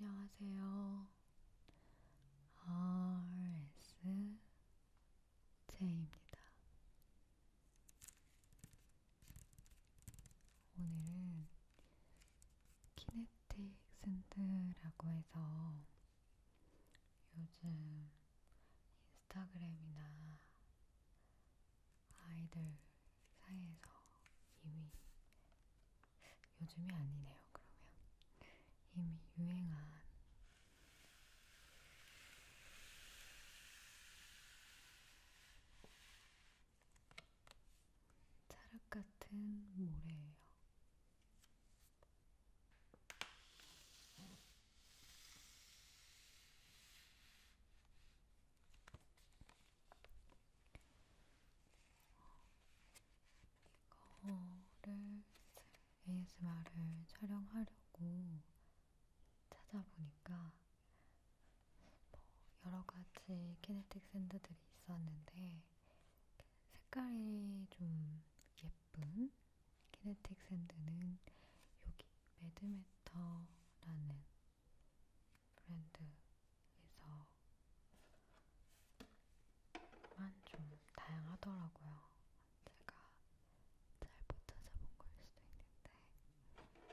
안녕하세요. RSJ입니다. 오늘은 키네틱 샌드라고 해서 요즘 인스타그램이나 아이들 사이에서 이미 요즘이 아니네요. 그러면 이미 유행한 자락 같은 모래예요. 이거를 ASMR을 촬영하려고 찾아보니까 뭐 여러 가지 키네틱 샌드들이 있었는데 색깔이 좀 예쁜 키네틱 샌드는 여기 매드메터라는 브랜드에서만 좀 다양하더라고요. 제가 잘 못 찾아본 걸 수도 있는데.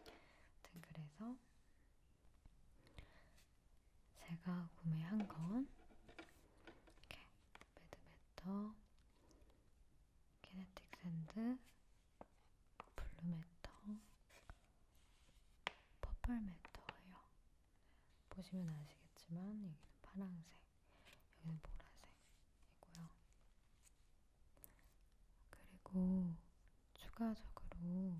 아무튼 그래서 제가 구매한 건 이렇게 매드메터, 키네틱 샌드, 블루메터, 퍼플메터예요. 보시면 아시겠지만 여기는 파란색, 여기는 보라색이고요. 그리고 추가적으로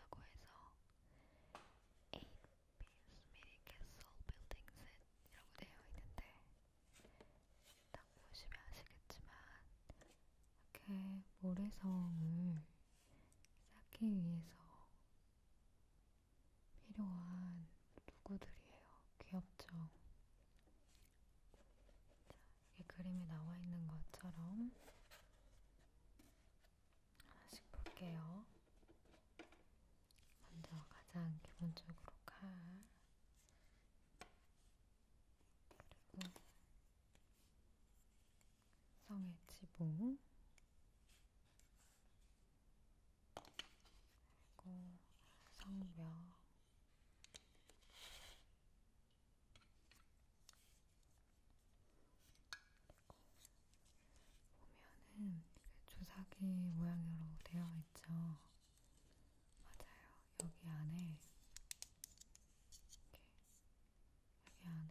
라고 해서 8필스 미리 캐슬 빌딩 셋이라고 되어 있는데 딱 보시면 아시겠지만 이렇게 그 모래성을 쌓기 위해서 필요한 도구들이에요. 귀엽죠? 자, 이 그림에 나와 있는 것처럼 하나씩 볼게요. 먼저 가장 기본적으로 칼 그리고 성의 지붕 그리고 성벽 보면은 조사기 모양으로 되어 있죠. 맞아요. 여기 안에 이렇게 여기 안에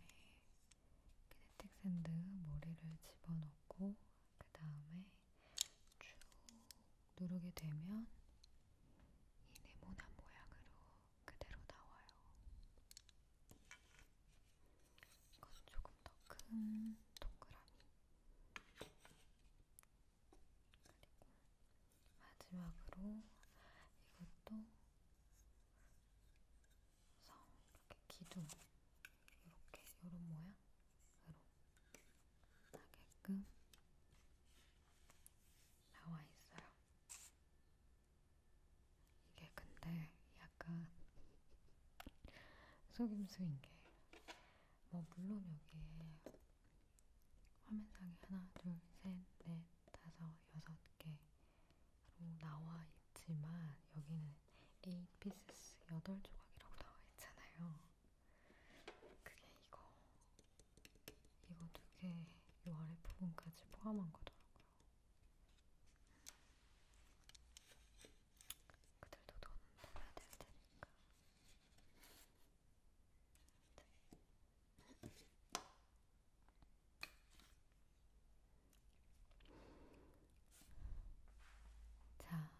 키네틱 샌드 머리를 집어넣고 그 다음에 쭉 누르게 되면 이 네모난 모양으로 그대로 나와요. 이건 조금 더 큰 동그라미. 그리고 마지막으로 이것도 성 이렇게 기둥 이렇게 이런 모양으로 나게끔 나와 있어요. 이게 근데 약간 속임수인 게, 뭐, 물론 여기에 화면상에 하나, 둘, 셋, 넷, 다섯, 여섯 개로 나와 있지만, 여기는 8 pieces 8조각이라고 나와 있잖아요. 그게 이거 이거 두개 이 아래 부분까지 포함한 거더라고요. 그들도 돈 내야 될 테니까. 네. 자,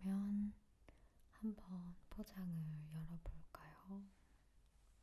그러면 한번 포장을 열어볼까요?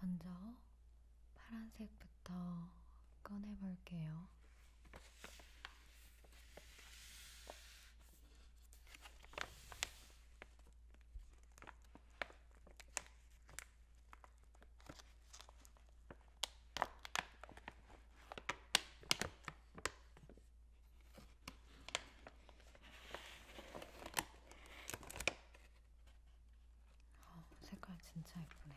먼저, 먼저 파란색부터 꺼내볼게요. 어, 색깔 진짜 예쁘네요.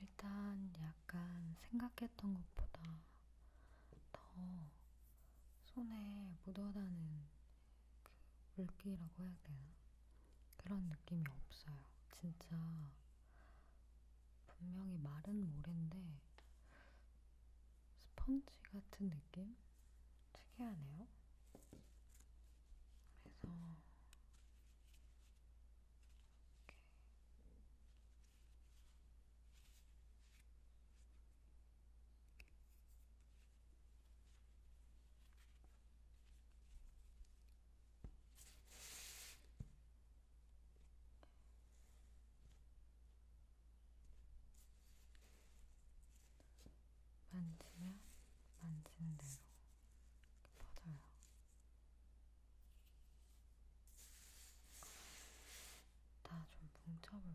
일단 약간 일단 약간 생각했던 것보다 더 손에 묻어나는 그 물기라고 해야 되나? 그런 느낌이 없어요. 진짜 분명히 마른 모래인데 스펀지 같은 느낌? 특이하네요. 그래서 이렇게 만지면 만진 대로 퍼져요. 다좀 뭉쳐볼게요.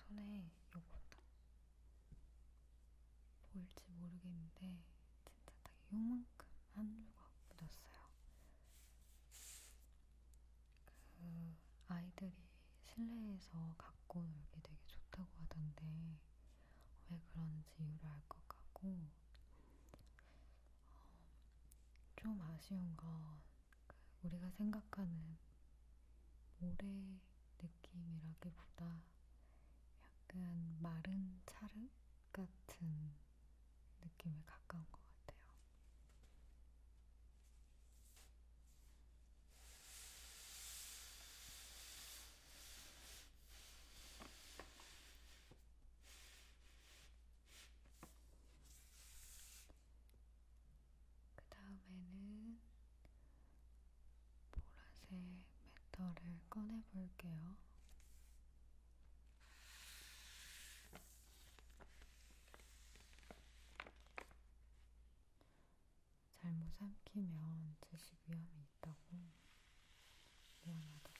손에 요거다. 보일지 모르겠는데 진짜 딱 요만큼 한 조각 묻었어요. 그 아이들이 실내에서 갖고 놀기 되게 좋다고 하던데 왜 그런지 이유를 알 것 같고 어, 좀 아쉬운 건 그 우리가 생각하는 모래 느낌이라기보다 약간 마른 차르 같은 느낌에 가까운 것 같아요. 그 다음에는 보라색 메터를 꺼내볼게요. 잘못 삼키면 드실 위험이 있다고 미안하다고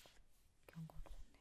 경고를 줬네요.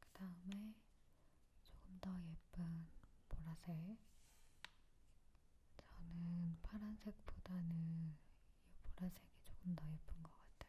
그 다음에 조금 더 예쁜 보라색. 저는 파란색보다는 이 보라색이 조금 더 예쁜 것 같아요.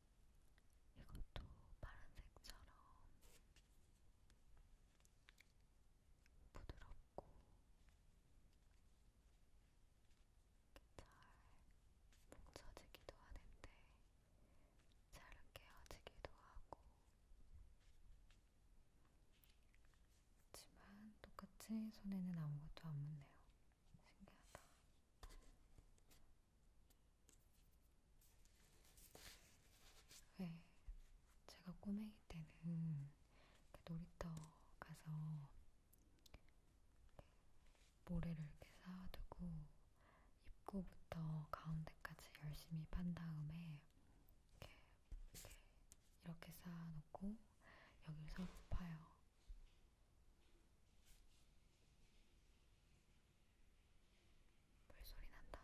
이것도 파란색처럼 부드럽고 잘 뭉쳐지기도 하는데 잘 깨어지기도 하고 하지만 똑같이 손에는 아무것도 안 묻네요. 신기하다. 왜 네, 제가 꼬맹이 때는 그 놀이터 가서 모래를 이렇게 쌓아두고 입구부터 가운데까지 열심히 판 다음에 이렇게, 이렇게, 이렇게 쌓아놓고 여기를 서로 파요. 물소리 난다.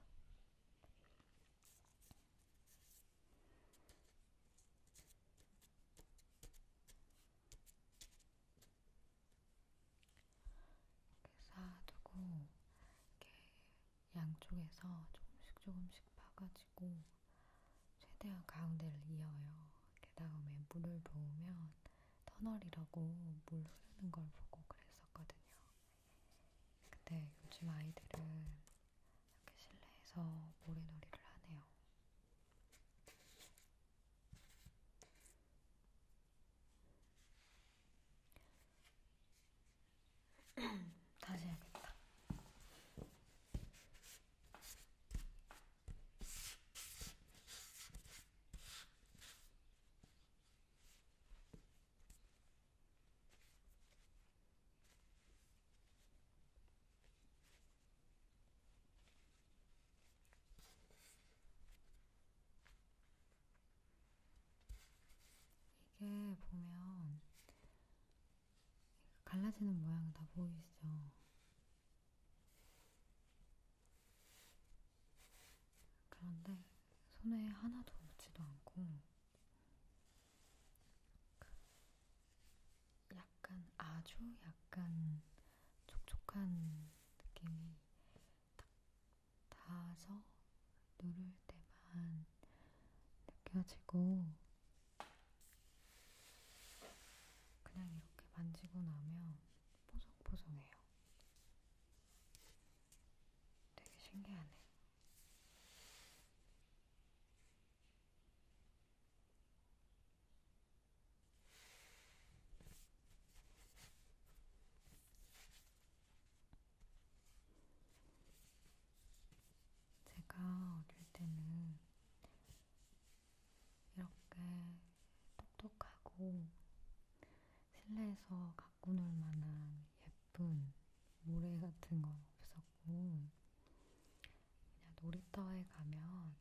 이렇게 쌓아두고 이렇게 양쪽에서 조금씩 조금씩 파가지고 최대한 가운데를 이어요. 그 다음에 물을 부으면 터널이라고 물 흐르는 걸 보고 그랬었거든요. 근데 요즘 아이들은 이렇게 실내에서 모래놀이를 하네요. 다시 해야겠다. 이게 보면 갈라지는 모양 다 보이시죠? 그런데 손에 하나도 묻지도 않고 그 약간 아주 약간 촉촉한 느낌이 딱 닿아서 누를 때만 느껴지고 그냥 이렇게 만지고 나면 보송보송해요. 되게 신기하네. 제가 어릴 때는 이렇게 똑똑하고 실내에서 갖고 놀 만한 예쁜 모래 같은 건 없었고, 그냥 놀이터에 가면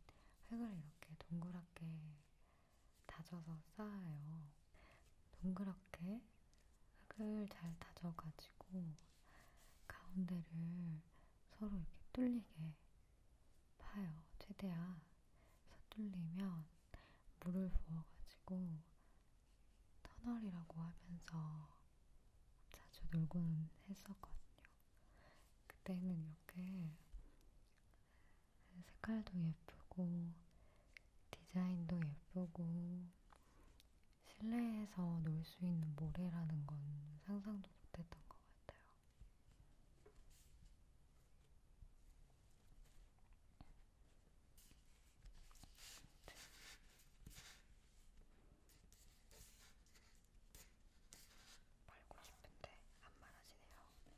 흙을 이렇게 동그랗게 다져서 쌓아요. 동그랗게 흙을 잘 다져가지고 가운데를 서로 이렇게 뚫리게 파요. 최대한. 그래서 뚫리면 물을 부어가지고 터널이라고 하면서 자주 놀고는 했었거든요. 그때는 이렇게 색깔도 예쁘고 디자인도 예쁘고 실내에서 놀 수 있는 모래라는 건 상상도 못했던 것 같아요. 말고 싶은데 안 말하시네요.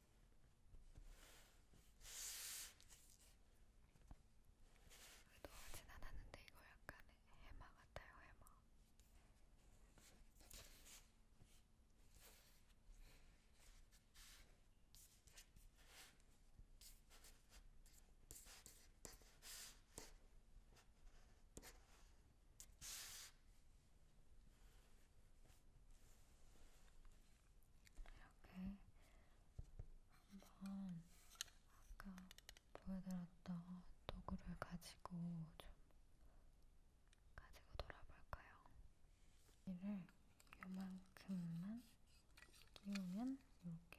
녹아진 않았는데 이거 약간 해마 같아요 해마 이렇게 한번 아까 보여드렸던 도구를 가지고 좀 가지고 돌아볼까요? 이를 요만큼만 끼우면 이렇게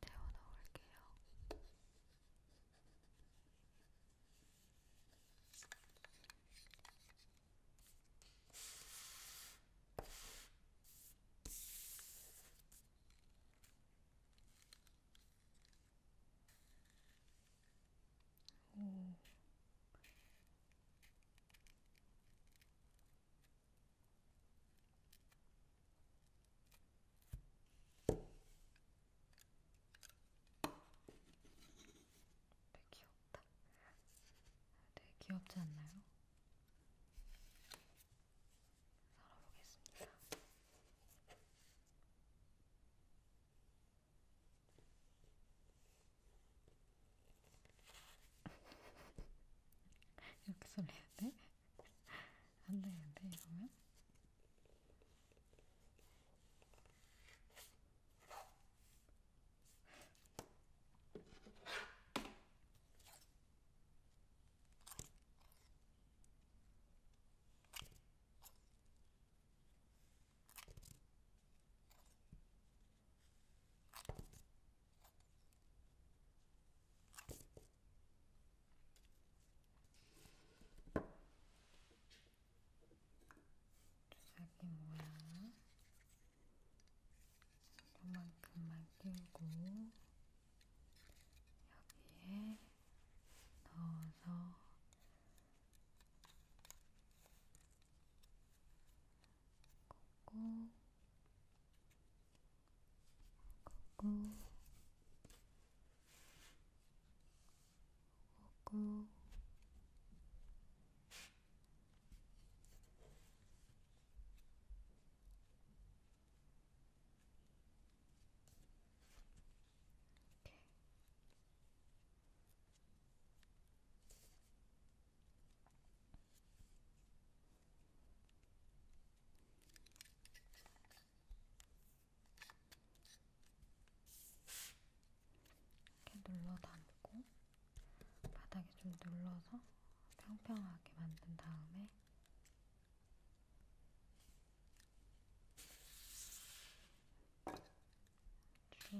데워 넣을게요. 오. 되게 귀엽다. 되게 네, 귀엽지 않나요? 살아보겠습니다. 이렇게 설레야 돼? 안 되는데 이러면 자기 모양 요만큼만 끼우고 여기에 넣어서 꽂고 오고 오고 이렇게 이렇게 눌러 담고 바닥에 좀 눌러서 평평하게 만든 다음에 쭉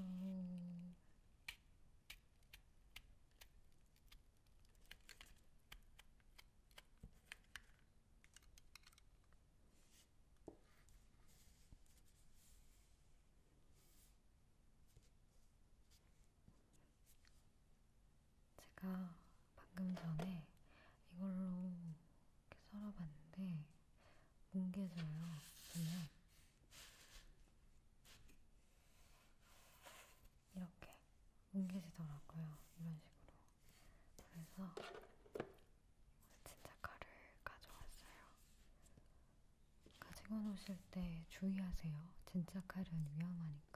제가 방금 전에 이걸로 이렇게 썰어봤는데 뭉개져요. 보면 이렇게 뭉개지더라고요. 이런 식으로. 그래서 진짜 칼을 가져왔어요. 가지고 노실 때 주의하세요. 진짜 칼은 위험하니까.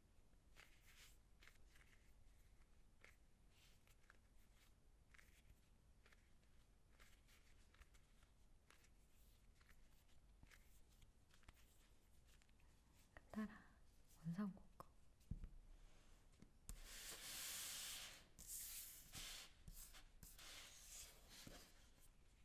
따라 원상복구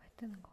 왜 뜨는 것 같네요.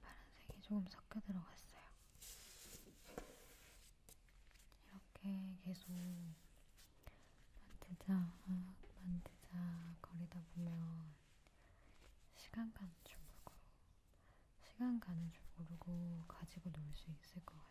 파란색이 조금 섞여 들어갔어요. 이렇게 계속 만들자, 만들자 거리다 보면 시간 간줄 모르고 시간 가는 줄 모르고 가지고 놀 수 있을 것 같아요.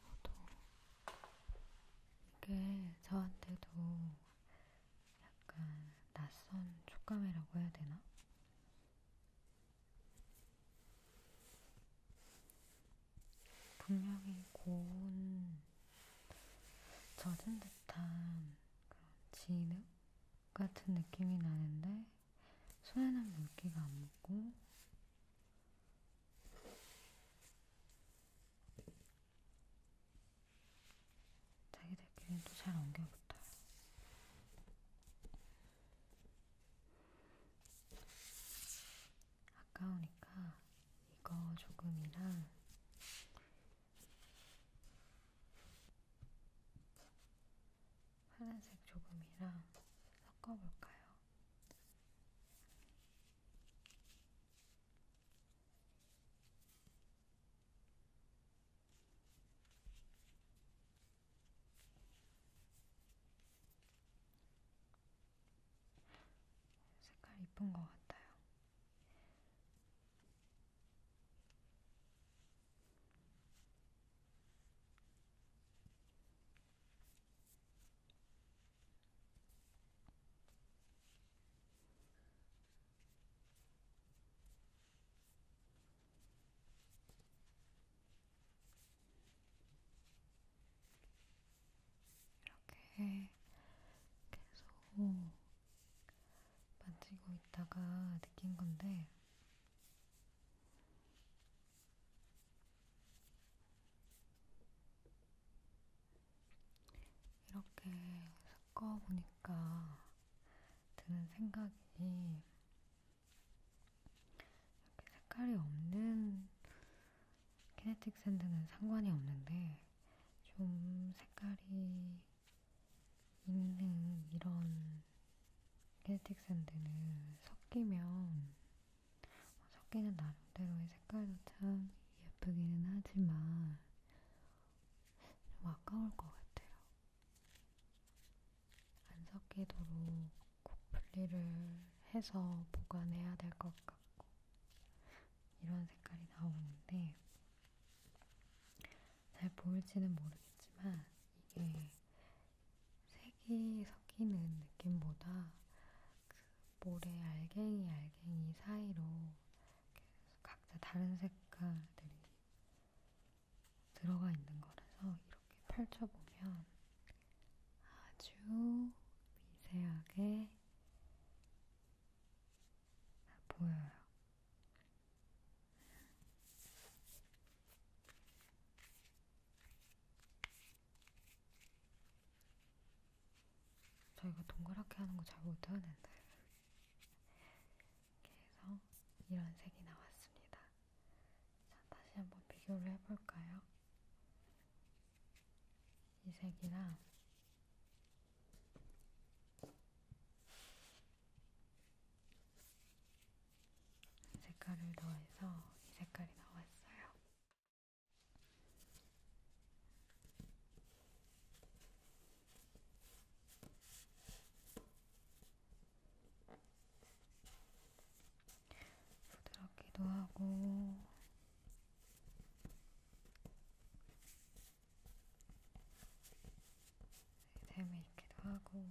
저도 이게 저한테도 약간 낯선 촉감이라고 해야 되나? 분명히 고운 젖은 듯한 그런 진흙 같은 느낌이 나는데 손에는 물기가 안 묻고 자기들끼리는 또잘 엉겨붙어요. 아까우니까 이거 조금이랑 파란색 조금이랑 섞어볼까요? 색깔 이쁜 것 같아요. 이렇게 계속 만지고 있다가 느낀 건데 이렇게 섞어보니까 드는 생각이 이렇게 색깔이 없는 키네틱 샌드는 상관이 없는데 좀 색깔이 있는 이런 켈틱 샌드는 섞이면 섞이는 나름대로의 색깔도 참 예쁘기는 하지만 좀 아까울 것 같아요. 안 섞이도록 꼭 분리를 해서 보관해야 될 것 같고 이런 색깔이 나오는데 잘 보일지는 모르겠지만 이게 색이 섞이는 느낌보다 그 모래 알갱이 알갱이 사이로 각자 다른 색깔들이 들어가 있는 거라서 이렇게 펼쳐보면 아주 미세하게 보여요. 저희가 동그랗게 하는 거 잘 못하는데 이렇게 해서 이런 색이 나왔습니다. 자, 다시 한번 비교를 해볼까요? 이 색이랑 색깔을 더해서 이 색깔이 나왔어요. 부드럽기도 하고 재미있기도 네, 하고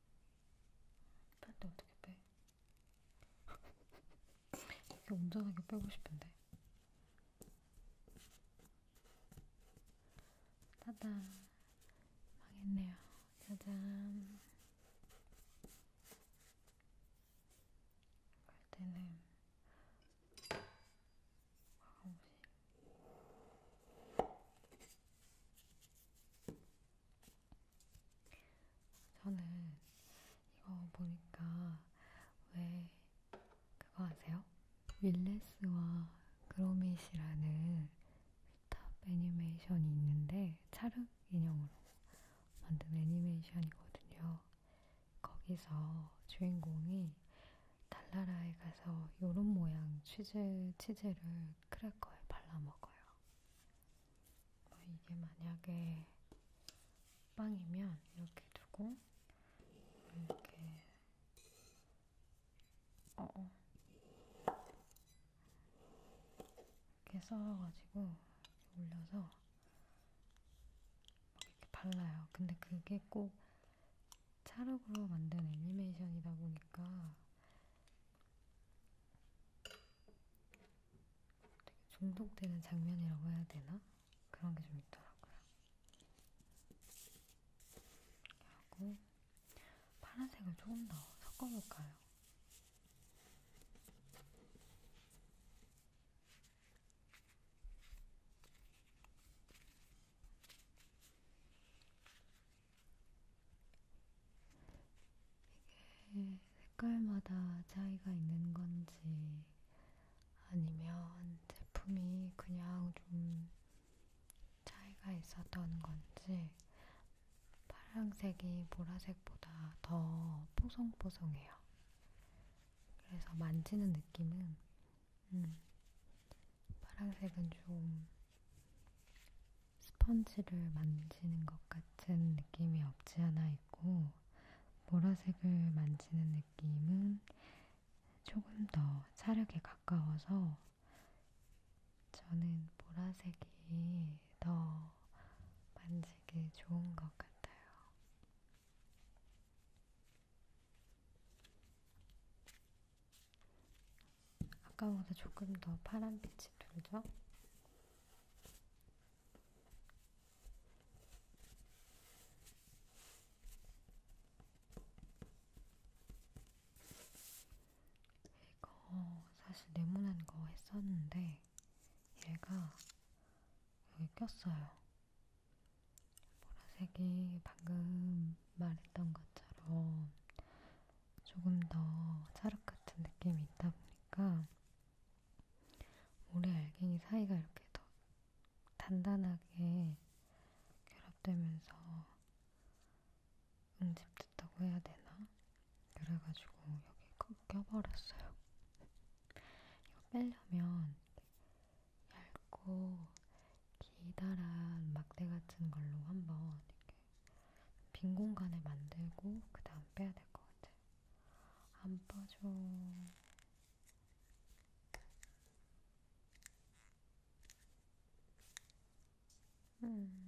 뺄때 어떻게 빼? 이게 온전하게 빼고 싶은데. 따단 망했네요. 짜잔. 그럴 때는 과거무시. 저는 이거 보니까 왜 그거 아세요? 윌레스와 그로밋이라는 탑 애니메이션이 있는데 차륵 인형으로 만든 애니메이션이거든요. 거기서 주인공이 달나라에 가서 요런 모양 치즈, 치즈를 크래커에 발라먹어요. 어, 이게 만약에 빵이면 이렇게 두고 이렇게 어, 어. 이렇게 썰어가지고 올려서 막 이렇게 발라요. 근데 그게 꼭 찰흙으로 만든 애니메이션이다 보니까 중독되는 장면이라고 해야 되나? 그런 게 좀 있더라고요. 하고 파란색을 조금 더 섞어볼까요? 이게 색깔마다 차이가 있는 건지 아니면 제품이 그냥 좀 차이가 있었던 건지 파란색이 보라색보다 더 뽀송뽀송해요. 그래서 만지는 느낌은 음, 파란색은 좀 스펀지를 만지는 것 같은 느낌이 없지 않아 있고, 보라색을 만지는 느낌은 조금 더 차력에 가까워서 저는 보라색이 더 만지기 좋은 것 같아요. 아까보다 조금 더 파란빛이 돌죠? 이거 사실 네모난 거 했었는데 얘가 여기 꼈어요. 보라색이 방금 말했던 것처럼 조금 더 찰흙 같은 느낌이 있다 보니까 모래 알갱이 사이가 이렇게 더 단단하게 결합되면서 응집됐다고 해야 되나? 그래가지고 여기 꺾여버렸어요. 이거 빼려면 얇고 기다란 막대 같은 걸로 한번 이렇게 빈 공간을 만들고 그 다음 빼야 될 것 같아요. 안 빠져. 음. 음.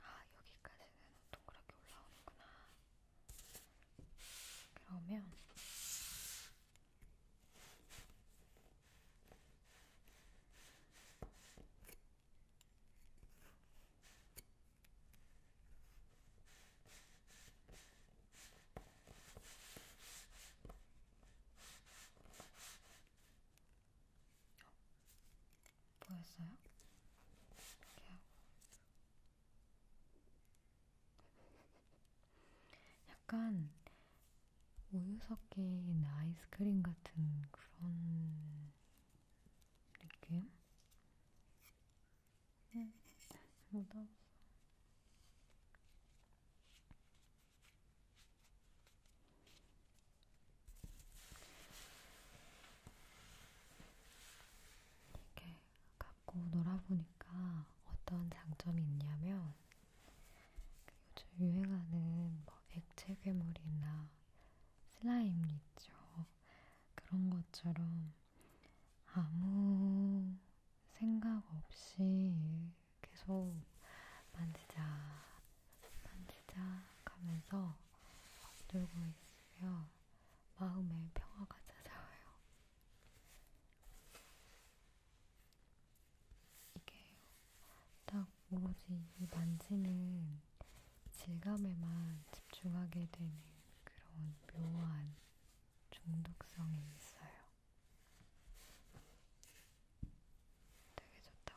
아, 여기까지는 동그랗게 올라오는구나. 그러면 보였어요? 이렇게 하고 약간 우유 섞인 아이스크림 같은 그런 느낌? 응, 네. 못하겠어. 이렇게 갖고 놀아보니까 어떤 장점이 있냐면 요즘 유행하는 뭐 액체 괴물이나 슬라임 있죠. 그런 것처럼 아무 생각 없이 계속 만지작 만지작 하면서 들고 있으면 마음에 평화가 찾아와요. 이게 딱 오로지 이 만지는 질감에만 집중하게 되는 그런 묘한 중독성이 있어요. 되게 좋다.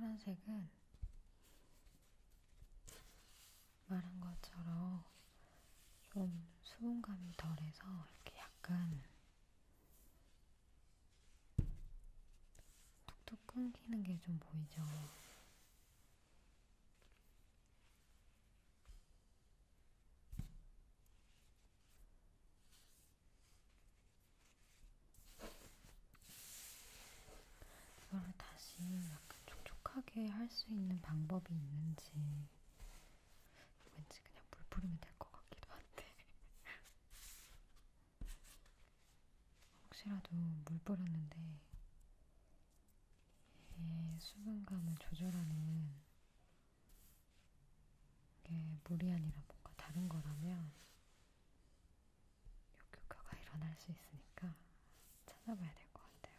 파란색은 말한 것처럼 좀 수분감이 덜해서 이렇게 약간 툭툭 끊기는 게 좀 보이죠? 이걸 다시 촉촉하게 할 수 있는 방법이 있는지 왠지 그냥 물 뿌리면 될 것 같기도 한데 혹시라도 물 뿌렸는데 이 수분감을 조절하는 게 물이 아니라 뭔가 다른 거라면 역효과가 일어날 수 있으니까 찾아봐야 될 것 같아요.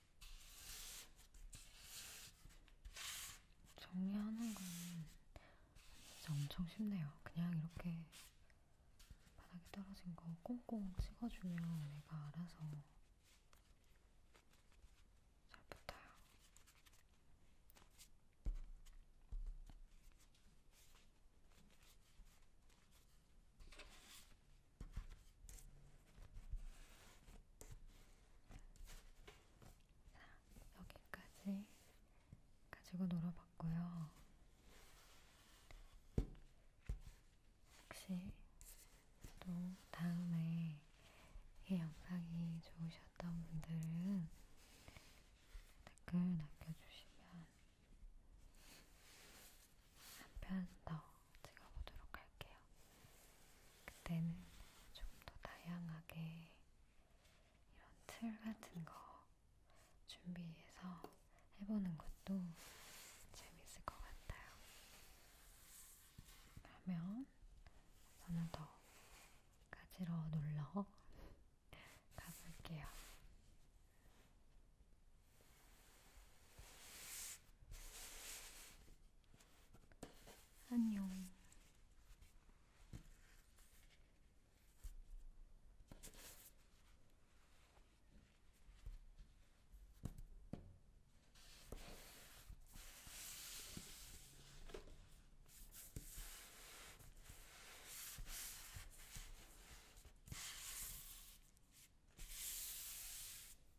정리하는 건 진짜 엄청 쉽네요. 그냥 이렇게 바닥에 떨어진 거 꽁꽁 찍어주면 얘가 알아서 잘 붙어요. 여기까지 가지고 놀아봤고요. 혹시 또 다음에 이 영상이 좋으셨던 분들은 댓글 남겨주시면 한편더 찍어보도록 할게요. 그때는 좀 더 다양하게 이런 틀 같은 거 준비해서 해보는 것도 재밌을 것 같아요. 그러면 저는 더 가지러 놀러 가볼게요. 안녕.